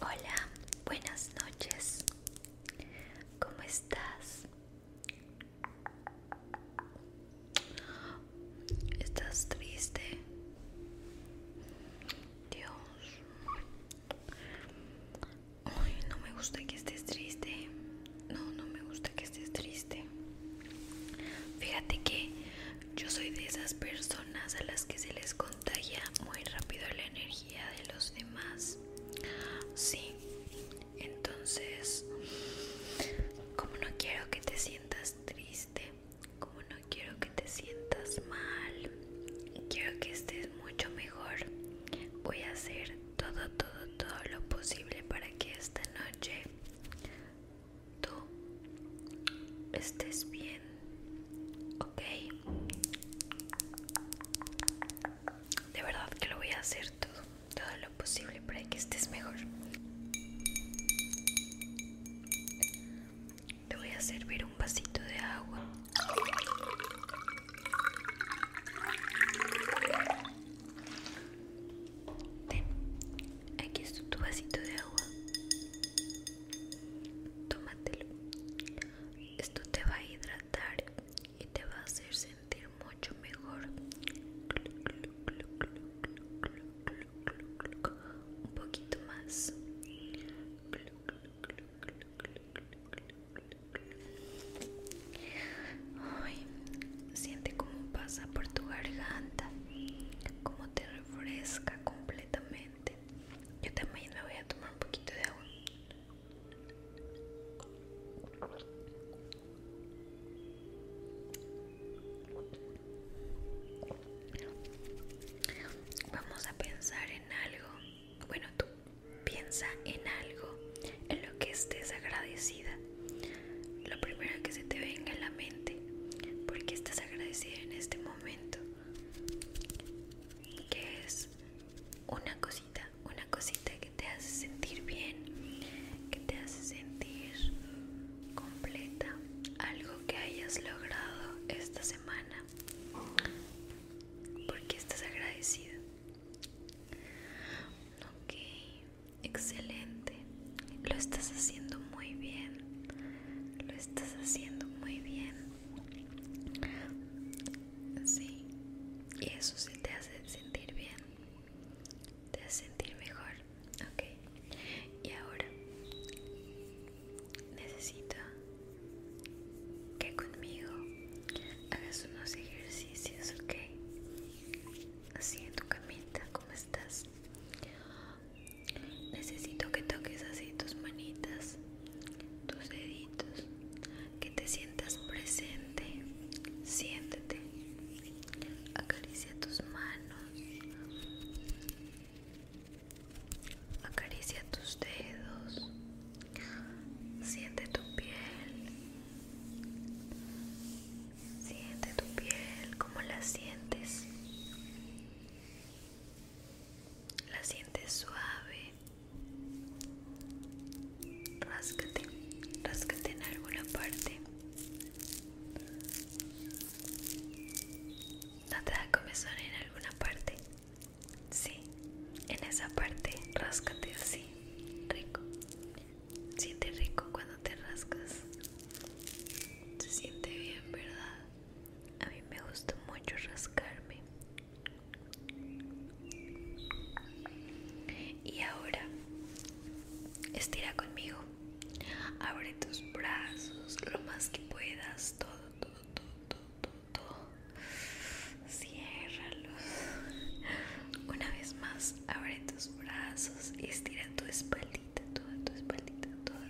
Hola, buenas noches. ¿Cómo estás? ¿Estás triste? Dios. Ay, no me gusta que estés triste. No, no me gusta que estés triste. Fíjate que yo soy de esas personas a las que se les contagia muy rápido la energía de los demás. Sí, entonces, como no quiero que te sientas triste, como no quiero que te sientas mal, quiero que estés mucho mejor. Voy a hacer todo, todo, todo lo posible para que esta noche tú estés bien, ok. De verdad que lo voy a hacer todo, todo lo posible para que estés mejor. Te voy a servir un vasito de agua. Ten, aquí es tu vasito de agua. Tómatelo. Esto te va a hidratar y te va a hacer sentir mucho mejor. Un poquito más. siente cómo pasa por tu garganta, como te fresca completamente. Yo también me voy a tomar un poquito de agua. Vamos a pensar en algo. Bueno, tú piensa en algo en lo que estés agradecida lo primero que se te venga a la mente, porque estás agradecida en este momento, que es una cosita, una cosita que te hace sentir bien, que te hace sentir completa, algo que hayas logrado esta semana, porque estás agradecida. Ok, Excelente. Lo estás haciendo muy bien. Lo estás haciendo muy bien. Y eso sí te hace sentir bien. Te hace sentir mejor. Ok. Y ahora necesito que conmigo hagas unos ejercicios, ok. Así en tu camita, ¿cómo estás? Necesito que toques así tus manitas, tus deditos, que te sientas presente. Siéntete. Acaricia tus manos. Acaricia tus dedos. Siente tu piel. Siente tu piel, ¿cómo la sientes? La sientes suave. rascate rascate en alguna parte. ¿No te da comezón en alguna parte? Sí, en esa parte, ráscate así, rico. Siente rico cuando te rascas. Se siente bien, ¿verdad? A mí me gusta mucho rascarme. Y ahora, estira conmigo. Abre tus brazos lo más que puedas. Todo, todo, todo, todo, todo. Una vez más, abre tus brazos y estira tu espalda toda tu espaldita, toda,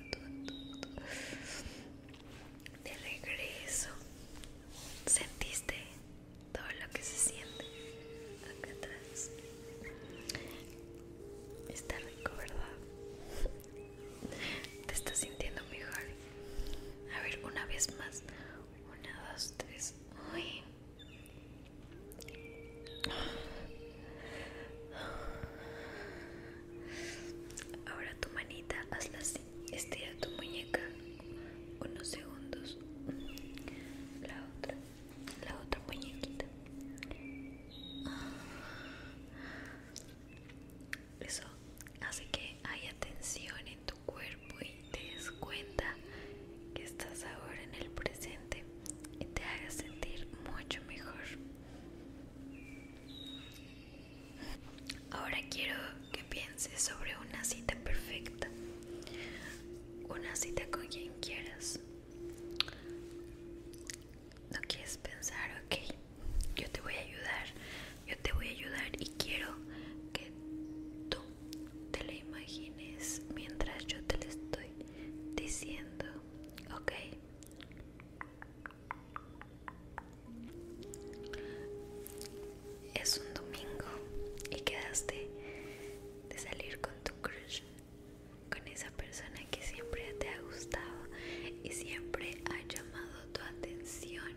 De regreso, sentiste todo lo que se siente acá atrás. Está rico, ¿verdad? Te estás sintiendo mejor. A ver, una vez más. Una, dos, tres. Uy. Ahora tu manita, hazla así. Estira tu muñeca unos segundos. La otra, la otra muñequita. Eso hace que haya tensión en tu cuerpo y te des cuenta que estás ahora en el presente y te haga sentir mucho mejor. Ahora quiero que pienses sobre una cita perfecta, una cita con quien quieras. No quieres pensar, ok, yo te voy a ayudar, yo te voy a ayudar y quiero que tú te la imagines mientras yo te la estoy diciendo, ok, es un domingo y quedaste de salir con tu crush, con esa persona que siempre te ha gustado y siempre ha llamado tu atención.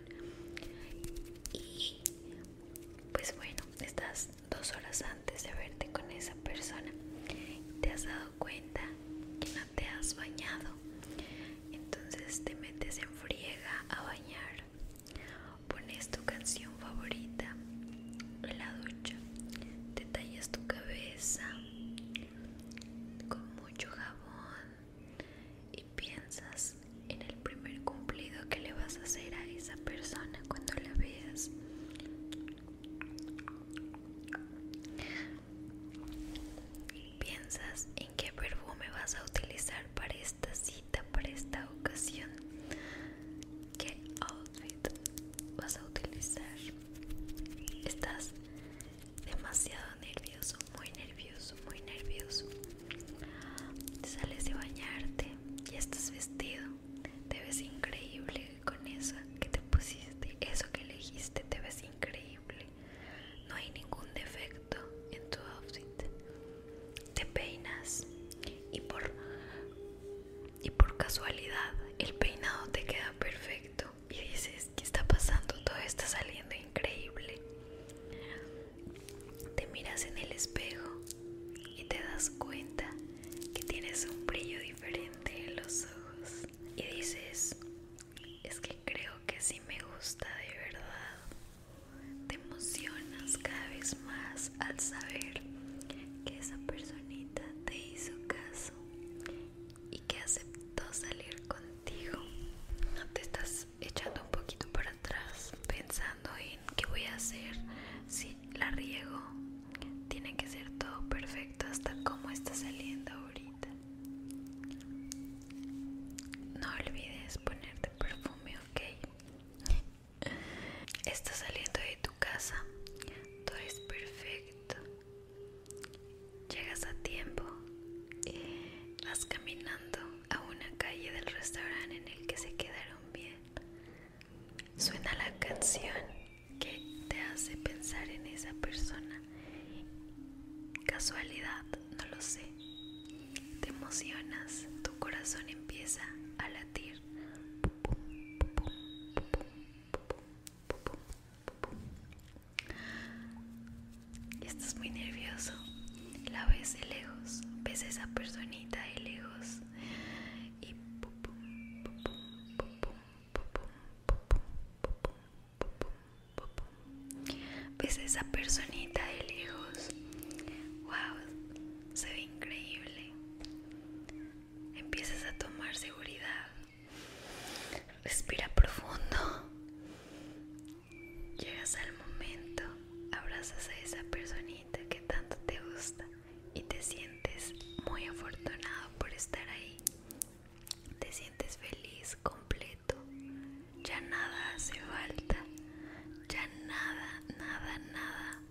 Y pues bueno, estás dos horas antes de verte con esa persona, te has dado cuenta que no te has bañado, entonces te metes en friega a bañar, pones tu canción favorita en la ducha, te tallas tu cabeza con mucho jabón y piensas en el primer cumplido que le vas a hacer a esa persona cuando la veas Piensas en qué perfume vas a utilizar para esta cita, para esta ocasión. ¿Qué outfit vas a utilizar? Estás demasiado nervioso, muy nervioso, muy nervioso. sales de bañarte, y estás vestido te ves increíble con eso que te pusiste, eso que elegiste, te ves increíble. No hay ningún defecto en tu outfit. Te peinas y por y por casualidad el peinado te queda perfecto y dices, ¿qué está pasando? Todo está saliendo increíble. Te miras en el espejo y te das cuenta que tienes un brillo diferente en los ojos y dices, es que creo que si me gusta de verdad. Te emocionas cada vez más al saber que esa personita te hizo caso y que aceptó salir contigo. No te estás echando un poquito para atrás pensando en qué voy a hacer si la riego. Tiene que ser todo perfecto hasta como está saliendo ahorita. No olvides ponerte perfume, ok. Estás saliendo de tu casa. Todo es perfecto. Llegas a tiempo. Vas caminando a una calle del restaurante en el que se quedaron bien. Suena la canción que te hace pensar en esa persona. Casualidad, no lo sé. Te emocionas, tu corazón empieza a latir. Estás muy nervioso, la ves de lejos, ves a esa personita de lejos y pum pum pum pum ves esa personita de lejos wow se ve increíble empiezas a tomar seguridad respira profundo llegas al momento abrazas a esa personita que tanto te gusta y te sientes muy afortunado por estar ahí. Te sientes feliz, completo. Ya nada hace falta. Ya nada, nada, nada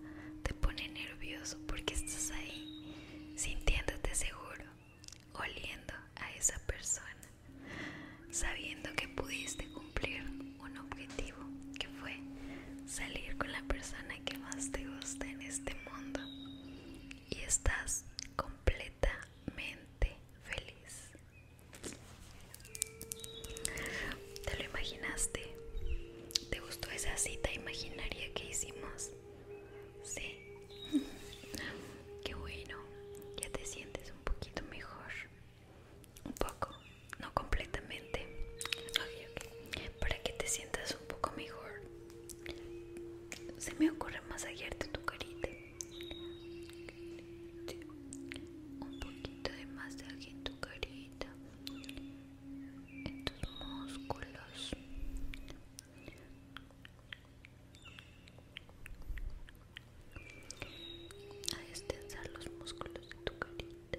te pone nervioso porque estás ahí sintiéndote seguro, oliendo a esa persona, sabiendo que pudiste cumplir un objetivo que fue salir con la persona que más te gusta en este mundo. Y estás completamente feliz. ¿Te lo imaginaste? ¿Te gustó esa cita imaginaria que hicimos? Sí. Qué bueno. Ya te sientes un poquito mejor. Un poco no completamente para que te sientas un poco mejor se me ocurre masajearte tu carita un poquito de masaje en tu carita en tus músculos a extensar los músculos de tu carita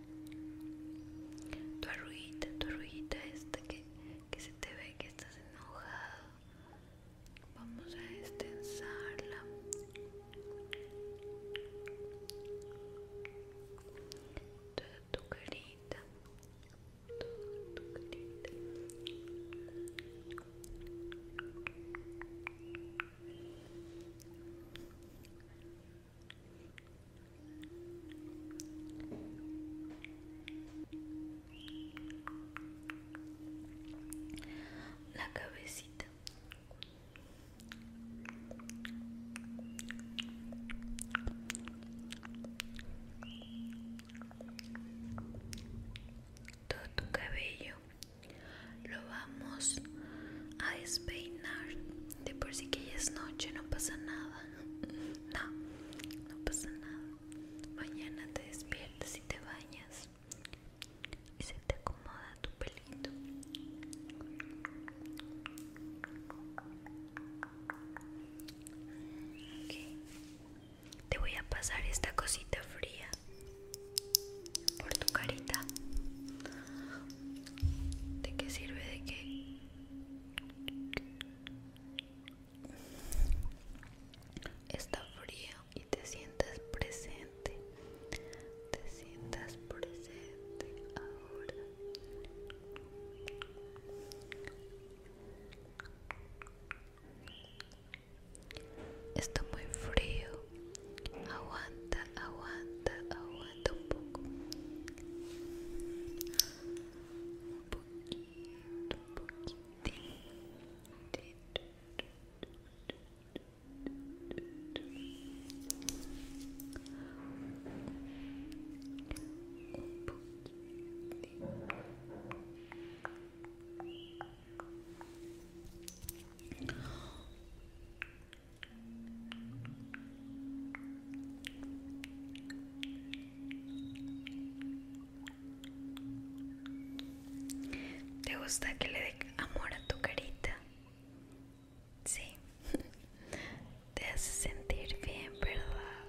Tu arruguita, tu arruguita esta que, se te ve que estás enojado. Vamos a extensarla. Toda tu carita. Toda tu carita la cabecita todo tu cabello lo vamos a despeinar de por si que ya es noche, no pasa nada. No, no pasa nada. Mañana te despiertas y te bañas. Y se te acomoda tu pelito. ok Te voy a pasar esta cosita fría por tu carita. ¿De qué sirve de qué? Está frío y te sientas presente. Te sientas presente ahora. Está muy frío. Aguanta aguanta, aguanta un poco. Un poquito, un poquitito. Un poquito. ¿Te gusta que le dé amor a tu carita? Sí, te hace sentir bien, ¿verdad?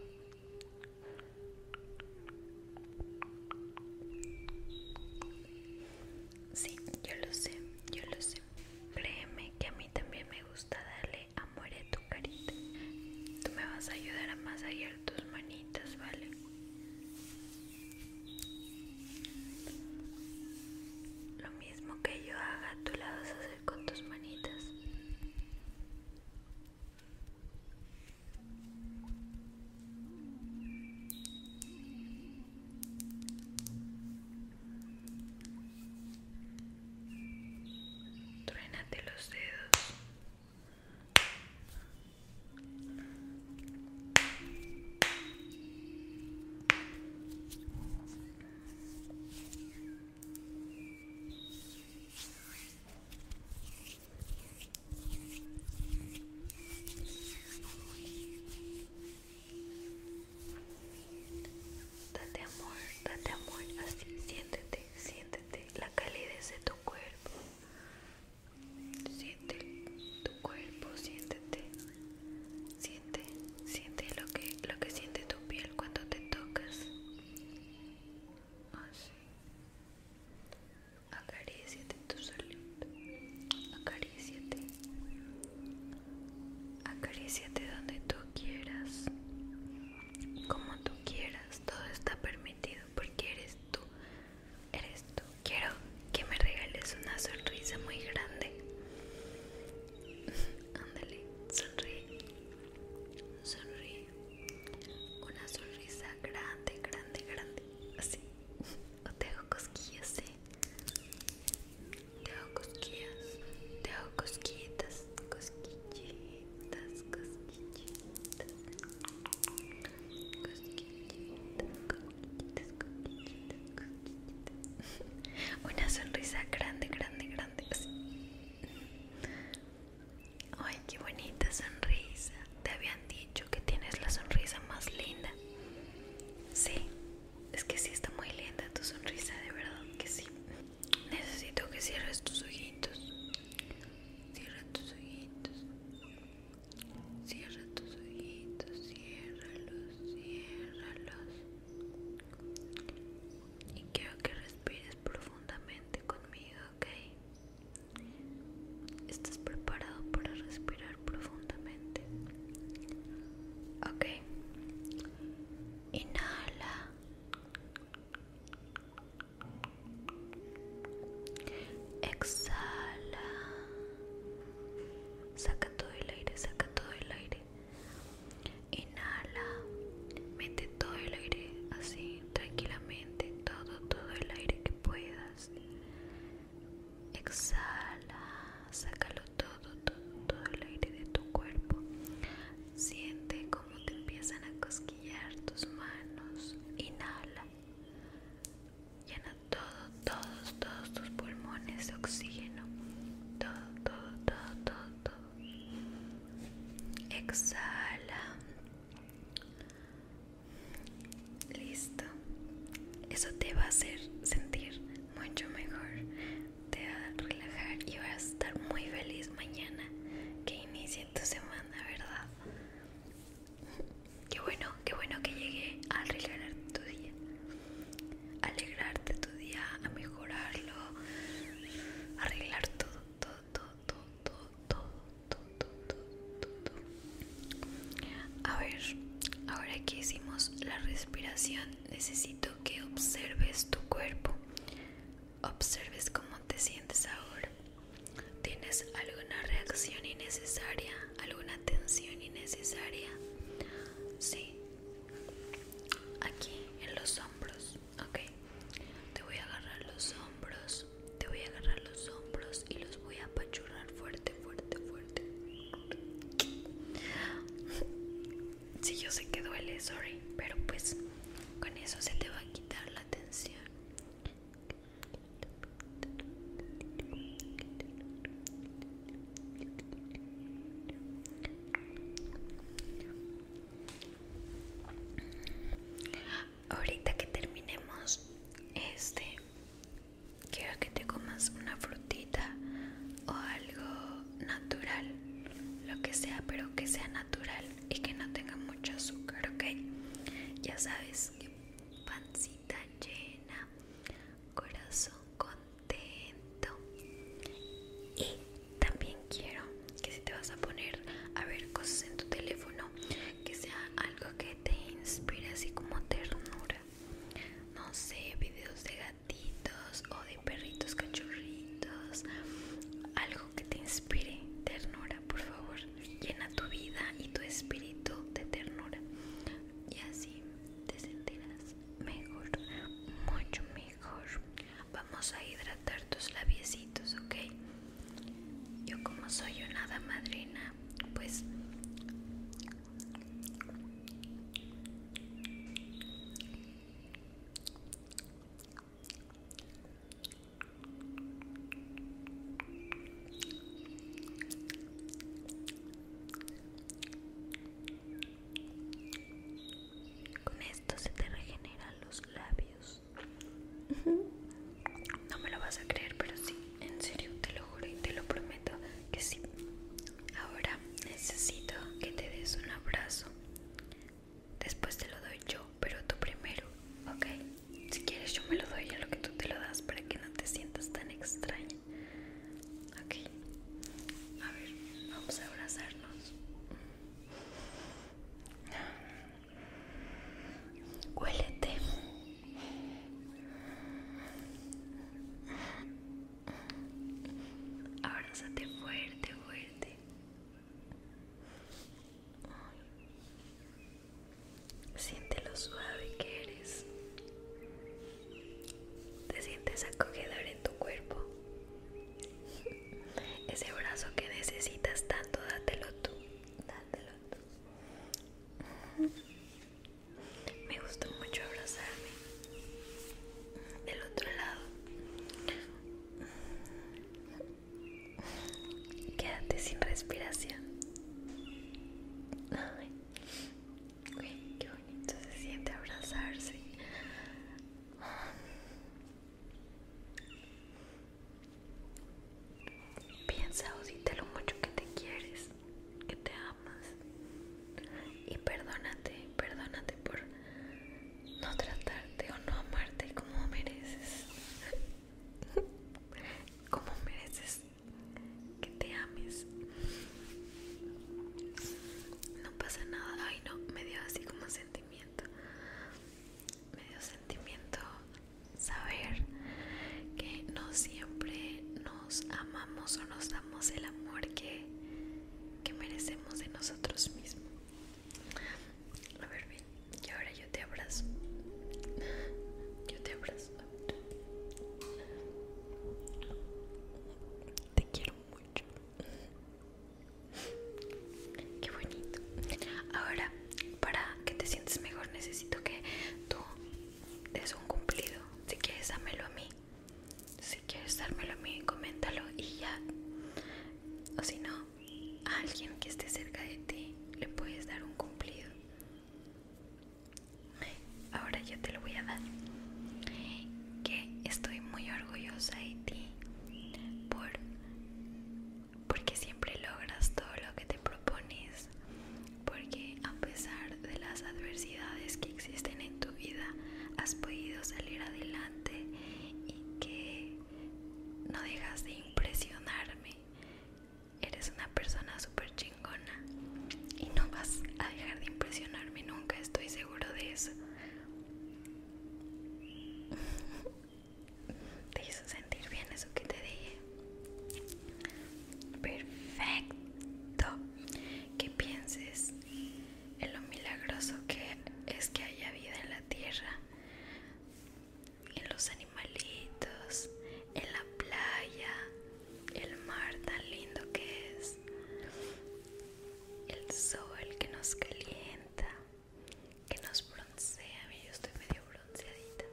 Sí, yo lo sé, yo lo sé. Créeme que a mí también me gusta darle amor a tu carita. Tú me vas a ayudar a masajear tus manitas, ¿vale? Lo mismo que yo haga, tú la vas a hacer con tus manitas. Truénate los dedos. Date amor, date amor, así siéntete, siéntete la calidez de tu cuerpo. Siente tu cuerpo, siéntete. Siente, siente lo que lo que siente tu piel cuando te tocas. Así. Acaríciate tu solito. Acaríciate. Acaríciate donde tú quieras, como tú quieras, todo está permitido porque eres tú, eres tú. Quiero que me regales una sonrisa muy grande. Ándale, sonríe, sonríe. Una sonrisa grande, grande, grande, así. O te hago cosquillas, ¿eh? Te hago cosquillas, te hago cosquillitas, cosquillitas, cosquillitas, cosquillitas, cosquillitas, cosquillitas, cosquillitas. Una sonrisa grande, grande, grande. Ay, qué bonita sonrisa. Te habían dicho que tienes la sonrisa más linda. Sí, es que sí está muy linda tu sonrisa, de verdad que sí. Necesito que cierres tus ojitos. Cierra tus ojitos. Cierra tus ojitos, ciérralos, ciérralos. Y quiero que respires profundamente conmigo, ¿ok? ¿Estás preparado para respirar profundamente? Okay. Ok. Inhala. Exhala. Saca todo el aire, saca todo el aire. Inhala. Mete todo el aire así, tranquilamente, todo, todo el aire que puedas. Exhala, sácalo todo, todo, todo el aire de tu cuerpo. Siente como te empiezan a cosquillar tus manos. Inhala. Llena todo, todos, todos tus pulmones de oxígeno. Todo, todo, todo, todo, todo. Exhala. Listo. Eso te va a hacer sentir mucho mejor, te va a relajar y vas a estar muy feliz mañana que inicie tu semana, ¿verdad? Qué bueno, qué bueno que llegué a arreglar tu día, alegrarte tu día, a mejorarlo, arreglar todo, todo, todo, todo, todo, todo, todo, todo, A ver, ahora que hicimos la respiración necesito que observes tu cuerpo, observes cómo te sientes ahora. ¿Tienes alguna reacción innecesaria, alguna tensión innecesaria? Sí, aquí en los hombros, ok. Te voy a agarrar los hombros, te voy a agarrar los hombros y los voy a apachurrar fuerte, fuerte, fuerte si yo sé que duele, sorry, pero pues con eso se te va a quitar la tensión. Ahorita que terminemos este quiero que te comas una frutita o algo natural, lo que sea, pero que sea natural y que no tenga mucho azúcar, ¿ok? Ya sabes, que pancita llena, corazón contento. Y también quiero que si te vas a poner a ver cosas en tu teléfono, que sea algo que te inspire así como ternura. No sé, videos de o de perritos cachorritos, algo que te inspire ternura, por favor, llena tu vida y tu espíritu de ternura y así te sentirás mejor, mucho mejor. Vamos a hidratar tus labiecitos, ¿ok? Yo como soy una hada madrina, pues con esto se te regeneran los labios. No me lo vas a creer, pero sí, en serio, te lo juro y te lo prometo que sí. Ahora necesito que te des un abrazo. Después te lo doy yo, pero tú primero, ¿ok? Si quieres yo me lo doy a lo que tú te lo das para que no te sientas tan extraña. Ok. A ver, vamos a abrazarnos. Huélete. Abrázate fuerte, fuerte. Siente lo suave que eres. Te sientes acogedor en tu cuerpo. Ese brazo que necesitas tanto, dátelo tú. Dátelo tú me gusta mucho abrazarme del otro lado quédate sin respiración Ay, qué bonito se siente abrazarse Piensa o lo mucho que te quieres que te amas y perdónate, perdónate por no tratarte o no amarte como mereces. como mereces que te ames. No pasa nada. Ay, no, me dio así como sentimiento. Me dio sentimiento saber que no siempre no amamos o nos damos el amor que, merecemos de nosotros mismos. A ver, ven, y ahora yo te abrazo. Yo te abrazo. Te quiero mucho. Qué bonito. Ahora, para que te sientes mejor, necesito que tú des un cumplido. Si quieres, dámelo a mí. Si quieres dármelo a mí, coméntalo y ya. O si no, a alguien que esté cerca de ti le puedes dar un cumplido. Ahora yo te lo voy a dar. Que estoy muy orgullosa de ti por porque siempre logras todo lo que te propones porque a pesar de las adversidades que existen en tu vida, has podido salir adelante y que no dejas de impresionarme. Eres una persona súper chingona y no vas a dejar de impresionarme nunca, estoy seguro de eso. ¿Te hizo sentir bien eso que te dije? Perfecto. Que pienses en lo milagroso que es que haya vida en la tierra, en los animalitos, en la playa, el mar tan lindo que es, el sol que nos calienta, que nos broncea. Yo estoy medio bronceadita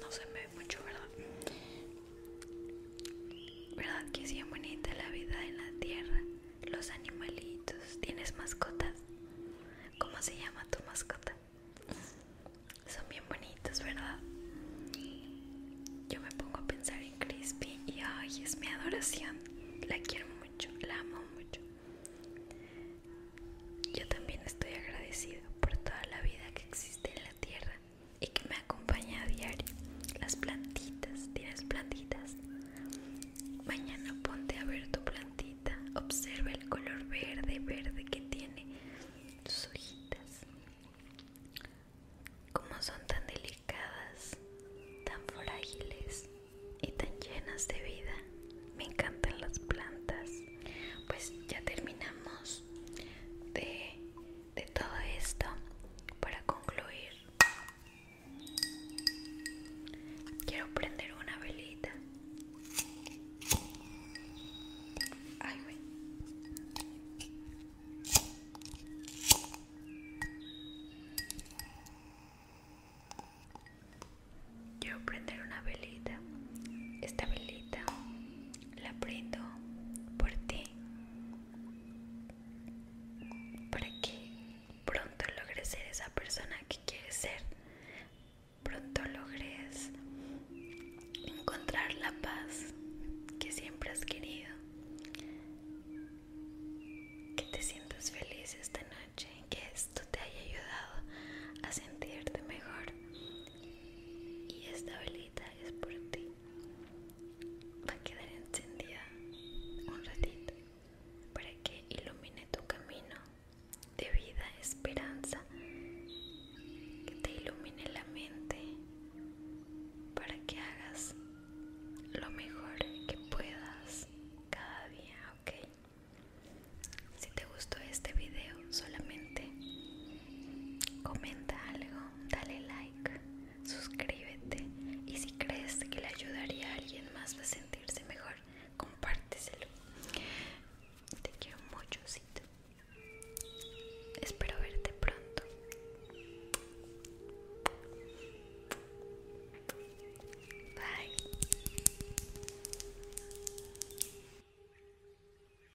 no se me ve mucho, ¿verdad? ¿Verdad que es bien bonita la vida en la tierra? Los animalitos, ¿tienes mascotas? ¿Cómo se llama tu mascota? Son bien bonitos, ¿verdad? Yo me pongo a pensar en Crispy y ay, es mi adoración. La quiero mucho, la amo mucho. Yo también estoy agradecido por toda la vida que existe en la tierra y que me acompaña a diario. Las plantitas, tienes plantitas. Mañana ponte a ver tu plantita. Observa el color verde, verde que tiene tus hojitas. Cómo son tan delicadas, tan frágiles y tan llenas de vida. Me encantan las plantas. Pues ya terminamos de de todo esto para concluir quiero prender una velita Quiero prender una velita. Esta velita la prendo por ti para que pronto logres ser esa persona que quieres ser, pronto logres encontrar la paz que siempre has querido, que te sientas feliz esta noche, que esto te haya ayudado a sentirte mejor y estable es por ti. Va a quedar encendida un ratito para que ilumine tu camino de vida, esperanza, que te ilumine la mente para que hagas lo mejor que puedas cada día, ¿ok? Si te gustó este video solamente comenta algo, dale like, suscríbete y si crees que le ayudaría a alguien más a sentirse mejor, compárteselo. Te quiero mucho, Espero verte pronto. Bye.